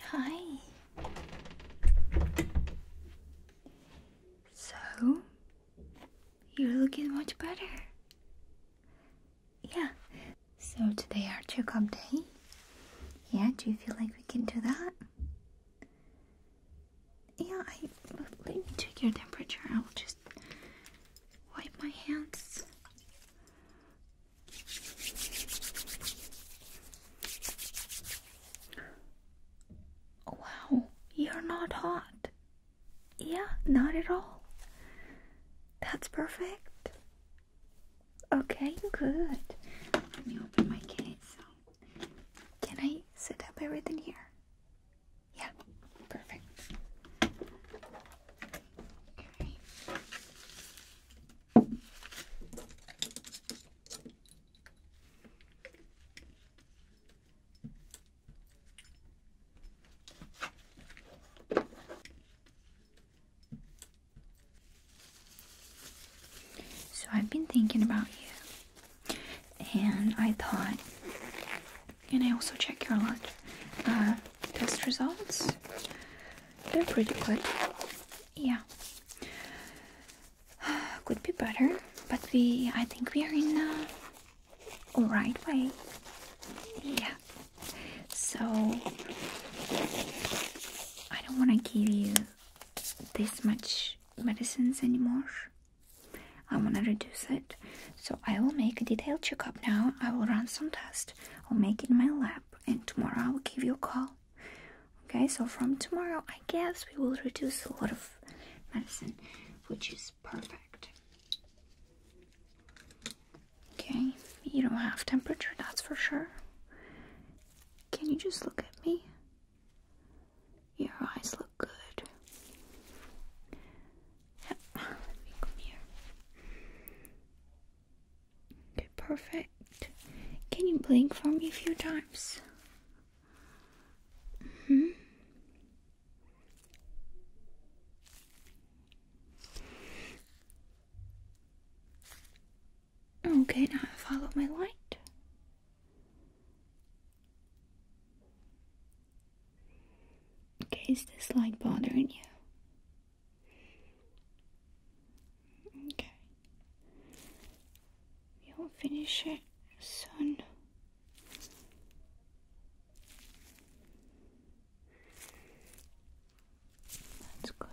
Hi. So, you're looking much better. Yeah. So today our checkup day. Yeah, do you feel like we can do that? Yeah, I. Let me check your temperature. I'll just wipe my hands. Wow, you're not hot. Yeah, not at all. That's perfect. Okay, good. Let me open my case. Can I set up everything here? Yeah, perfect. Alright. So I've been thinking about you and I thought, can I also check your lot uh, test results? They're pretty good. Yeah, could be better, but we, I think we are in the right way. Yeah. So I don't want to give you this much medicines anymore. I want to reduce it. So I will make a detailed checkup now. I will run some tests. I'll make it in my lab. And tomorrow I will give you a call. Okay, so from tomorrow, I guess we will reduce a lot of medicine, which is perfect. Okay, you don't have temperature, that's for sure. Can you just look at me? Your eyes look good. Yep, let me come here. Okay, perfect. Can you blink for me a few times? hmm. Okay, now follow my light. Okay, is this like bothering you? Okay. We will finish it soon. That's good.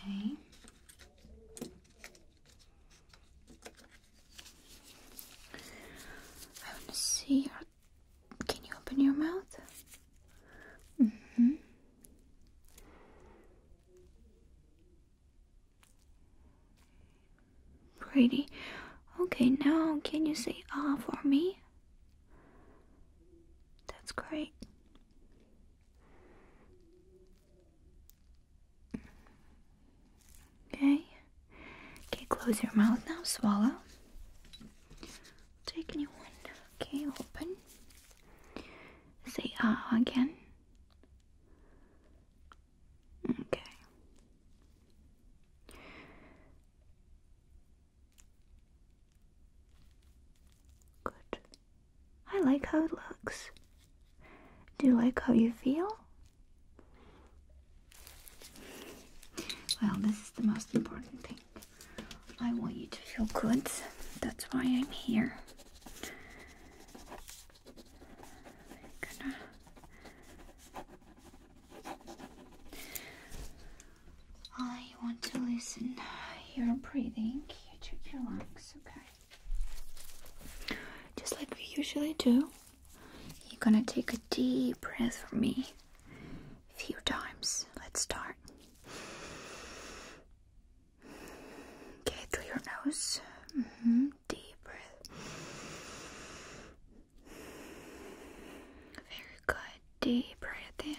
Okay. I want to see your. Can you open your mouth? hmm. Pretty. Okay, now can you say ah for me? That's great. Okay. Okay, close your mouth now. Swallow. Take a new one. Okay, open. Say ah again. Okay. Good. I like how it looks. Do you like how you feel? Well, this is the most important thing. I want you to feel good. That's why I'm here. I want to listen your breathing. You check your lungs, okay? Just like we usually do. You're gonna take a deep breath for me a few times. Let's start. Okay, through your nose. Mm-hmm. Deep breath. Very good. Deep breath in.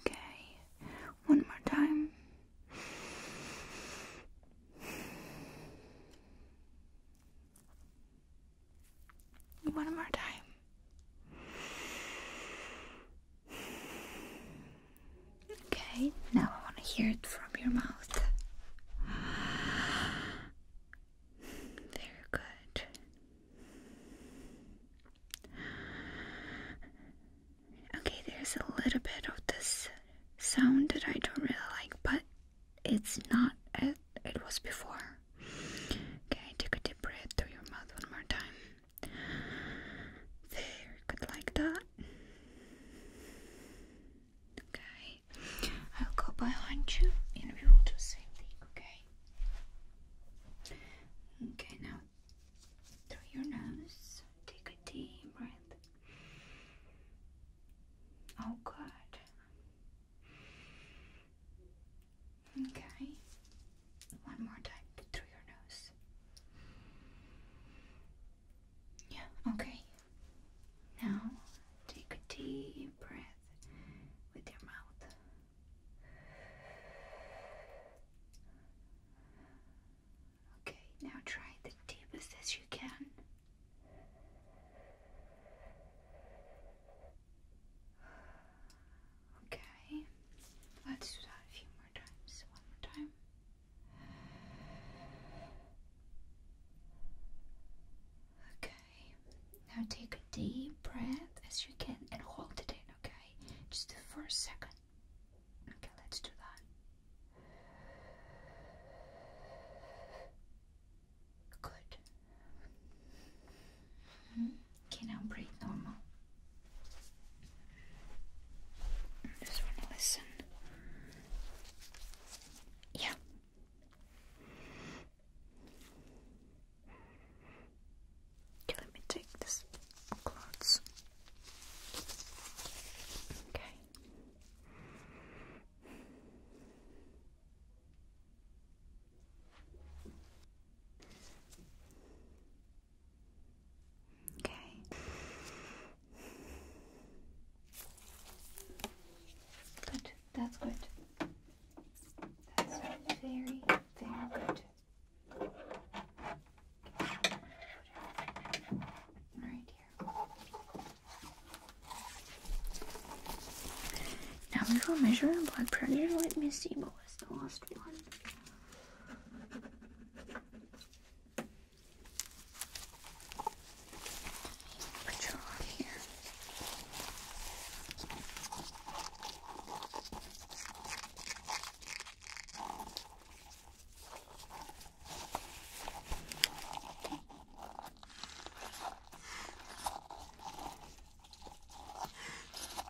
Okay, one more time. One more time. Okay, now I want to hear it from your mouth. Very good. Okay, there's a little bit of this sound that I don't really like, but it's not as it was before. Okay, take a deep breath through your mouth one more time. There, good like that. Okay, I'll go behind you and we will do the same thing, okay? Okay, now through your nose, take a deep breath. Oh, good. Okay. One more time through your nose. Yeah, okay. Now take a deep breath with your mouth. Okay, now try the deepest as you can. Okay, let's do that a few more times. One more time. Okay, now take a deep breath as you can and hold it in, okay? Just for a second. Okay, let's do that. Good. Mm-hmm. Can I breathe normal. just want to listen. Yeah. Okay, let me take this clothes. Okay. Okay. Good. That's good. That's very, very good. Right here. Now we will measure blood pressure. Let me see what was the last one. Put your arm here.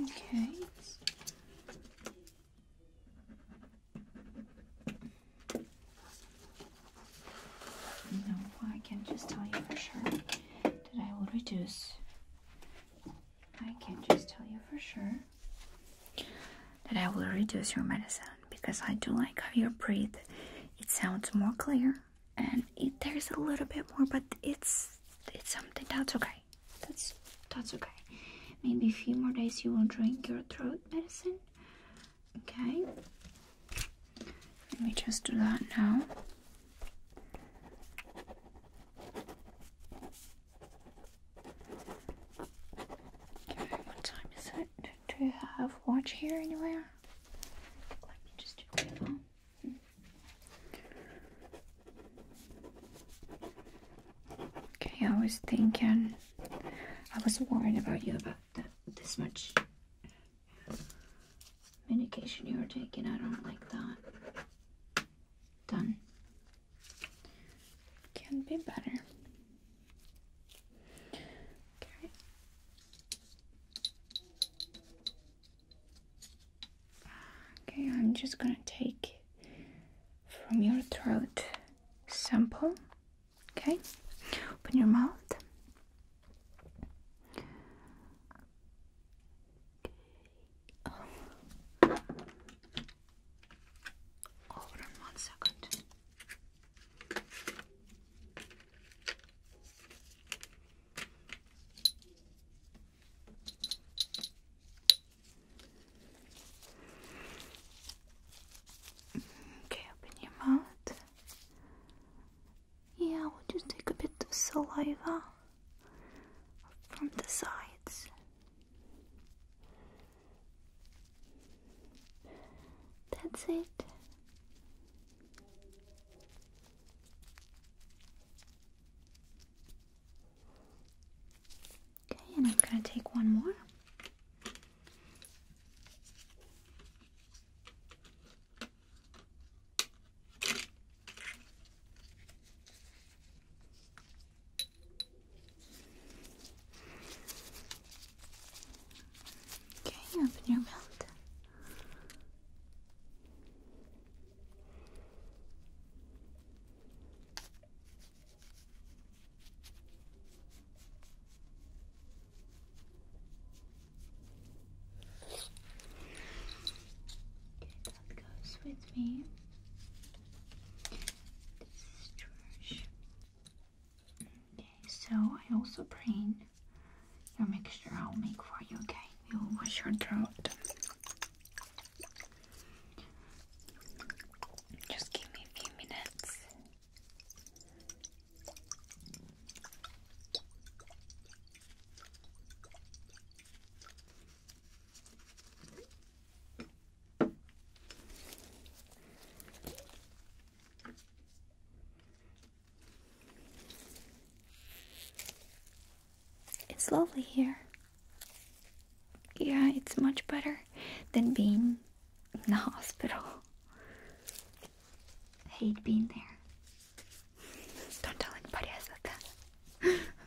Okay. No, I can just tell you for sure that I will reduce I can just tell you for sure that I will reduce your medicine because I do like how you breathe. It sounds more clear and there's a little bit more, but it's it's something that's okay. That's that's okay. Maybe a few more days you will drink your throat medicine. Okay. Let me just do that now. Okay, what time is it? Do have watch here anywhere? Let me just do Okay, I was thinking, I was worried about you about that, this much medication you were taking. I don't like that. Done can be better. Okay. I'm just gonna take from your throat sample. Okay, open your mouth. Um, hold on one second. Okay, open your mouth. Yeah, we'll just take a bit of saliva from the sides. That's it. Okay, and I'm going to take one more. Okay, open your mouth. Okay, that goes with me. Okay, so I also bring your mixture I'll make for you, okay? You'll wash your throat. Just give me a few minutes. It's lovely here. Yeah, it's much better than being in the hospital. hate being there. Don't tell anybody I said that.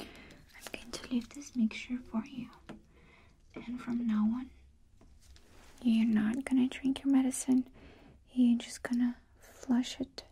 I'm going to leave this mixture for you, and from now on, you're not gonna drink your medicine, you're just gonna flush it.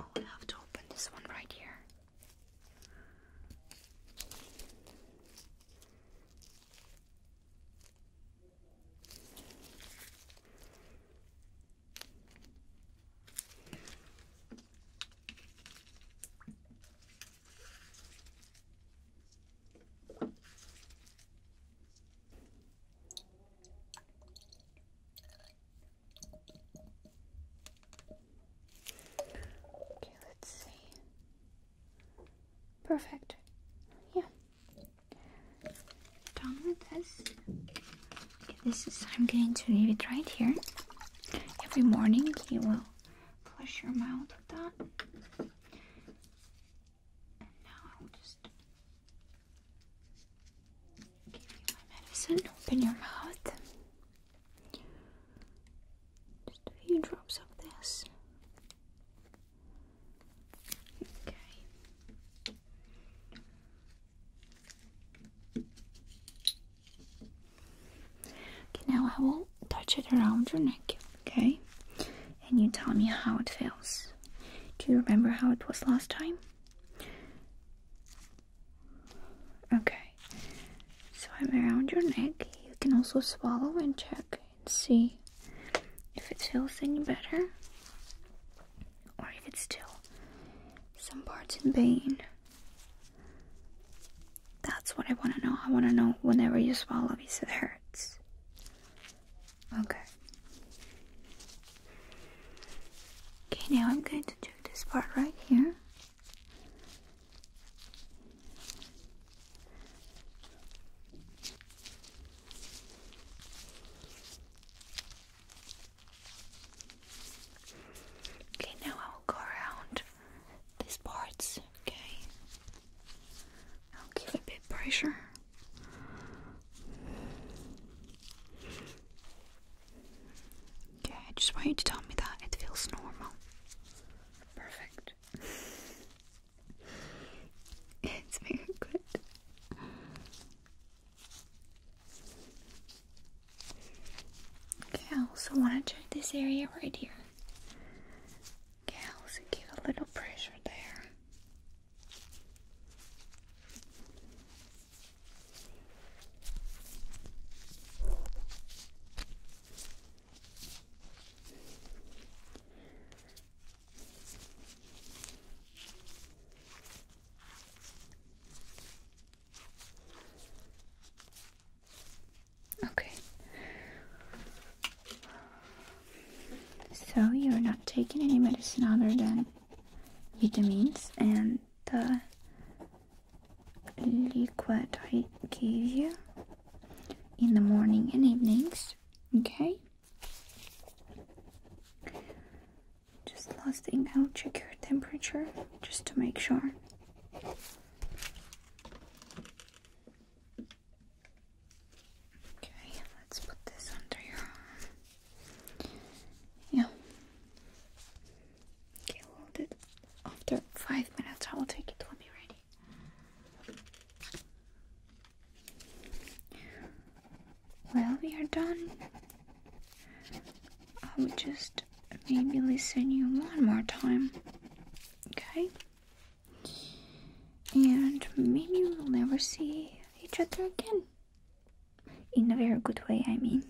Oh, I have to open this one right here. Okay, let's see. Perfect. Yeah done with this. this is I'm going to leave it right here. Every morning you will flush your mouth with that. now just give you my medicine. Open your mouth. Just a few drops of this. Okay now I will touch it around your neck, okay? And you tell me how it feels. Do you remember how it was last time? Okay, so I'm around your neck. You can also swallow and check and see if it feels any better or if it's still some parts in pain. That's what I want to know. I want to know whenever you swallow if it hurts. Okay. Okay, now I'm going to do this part right here. Okay, now I will go around these parts, okay? I'll give a bit pressure. Okay, I just want you to tell me that it feels normal. Perfect. it's very good. Okay, I also want to check this area right here. Okay, I also give a little pressure there. Okay. So you're not taking any medicine other than vitamins and the liquid I gave you in the morning and evenings. Okay. Just last thing, I'll check your temperature just to make sure. Okay, let's put this under your arm. Yeah. Okay, hold it. After five minutes, I will take it. will be ready. Well, we are done. I would just maybe listen you one more time. Okay? And maybe we'll never see each other again. In a very good way, I mean.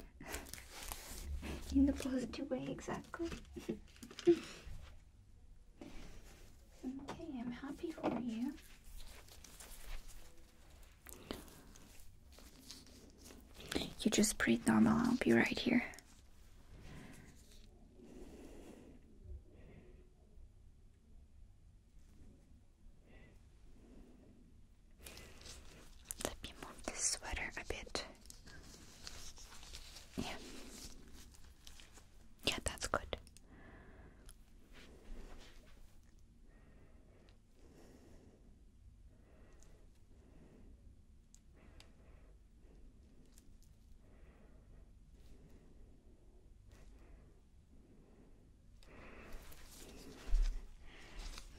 In the positive way, exactly. okay, I'm happy for you. You just breathe normal, I'll be right here. Let me move this sweater a bit. Yeah. Yeah, that's good.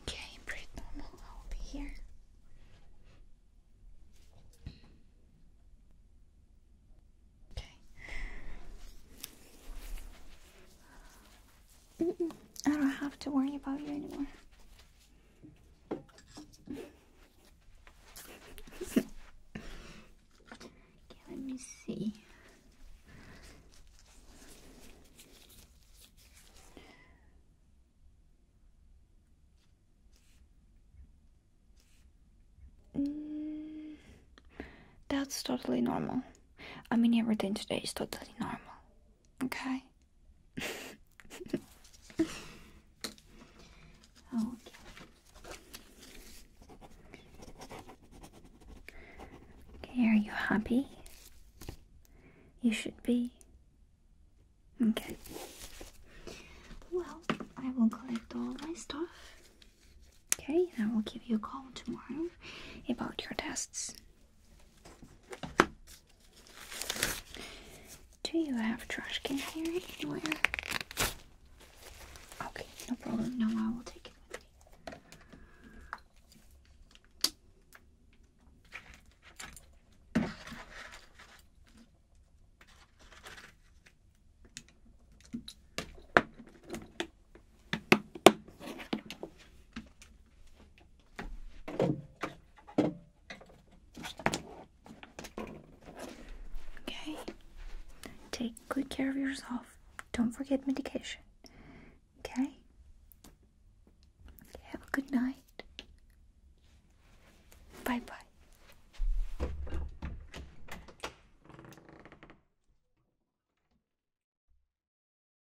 Okay, breathe normal. I'll be here. Okay. I don't have to worry about you anymore. let me see. Mm, that's totally normal. I mean, everything today is totally normal. Okay. oh, okay, are you happy? You should be. Okay. Well, I will collect all my stuff. Okay, I will give you a call tomorrow about your tests. Do you have trash can here anywhere? Okay, no problem. No, I will take it with me. Okay. Take good care of yourself. Don't forget medication. Okay? Have a good night. Bye bye.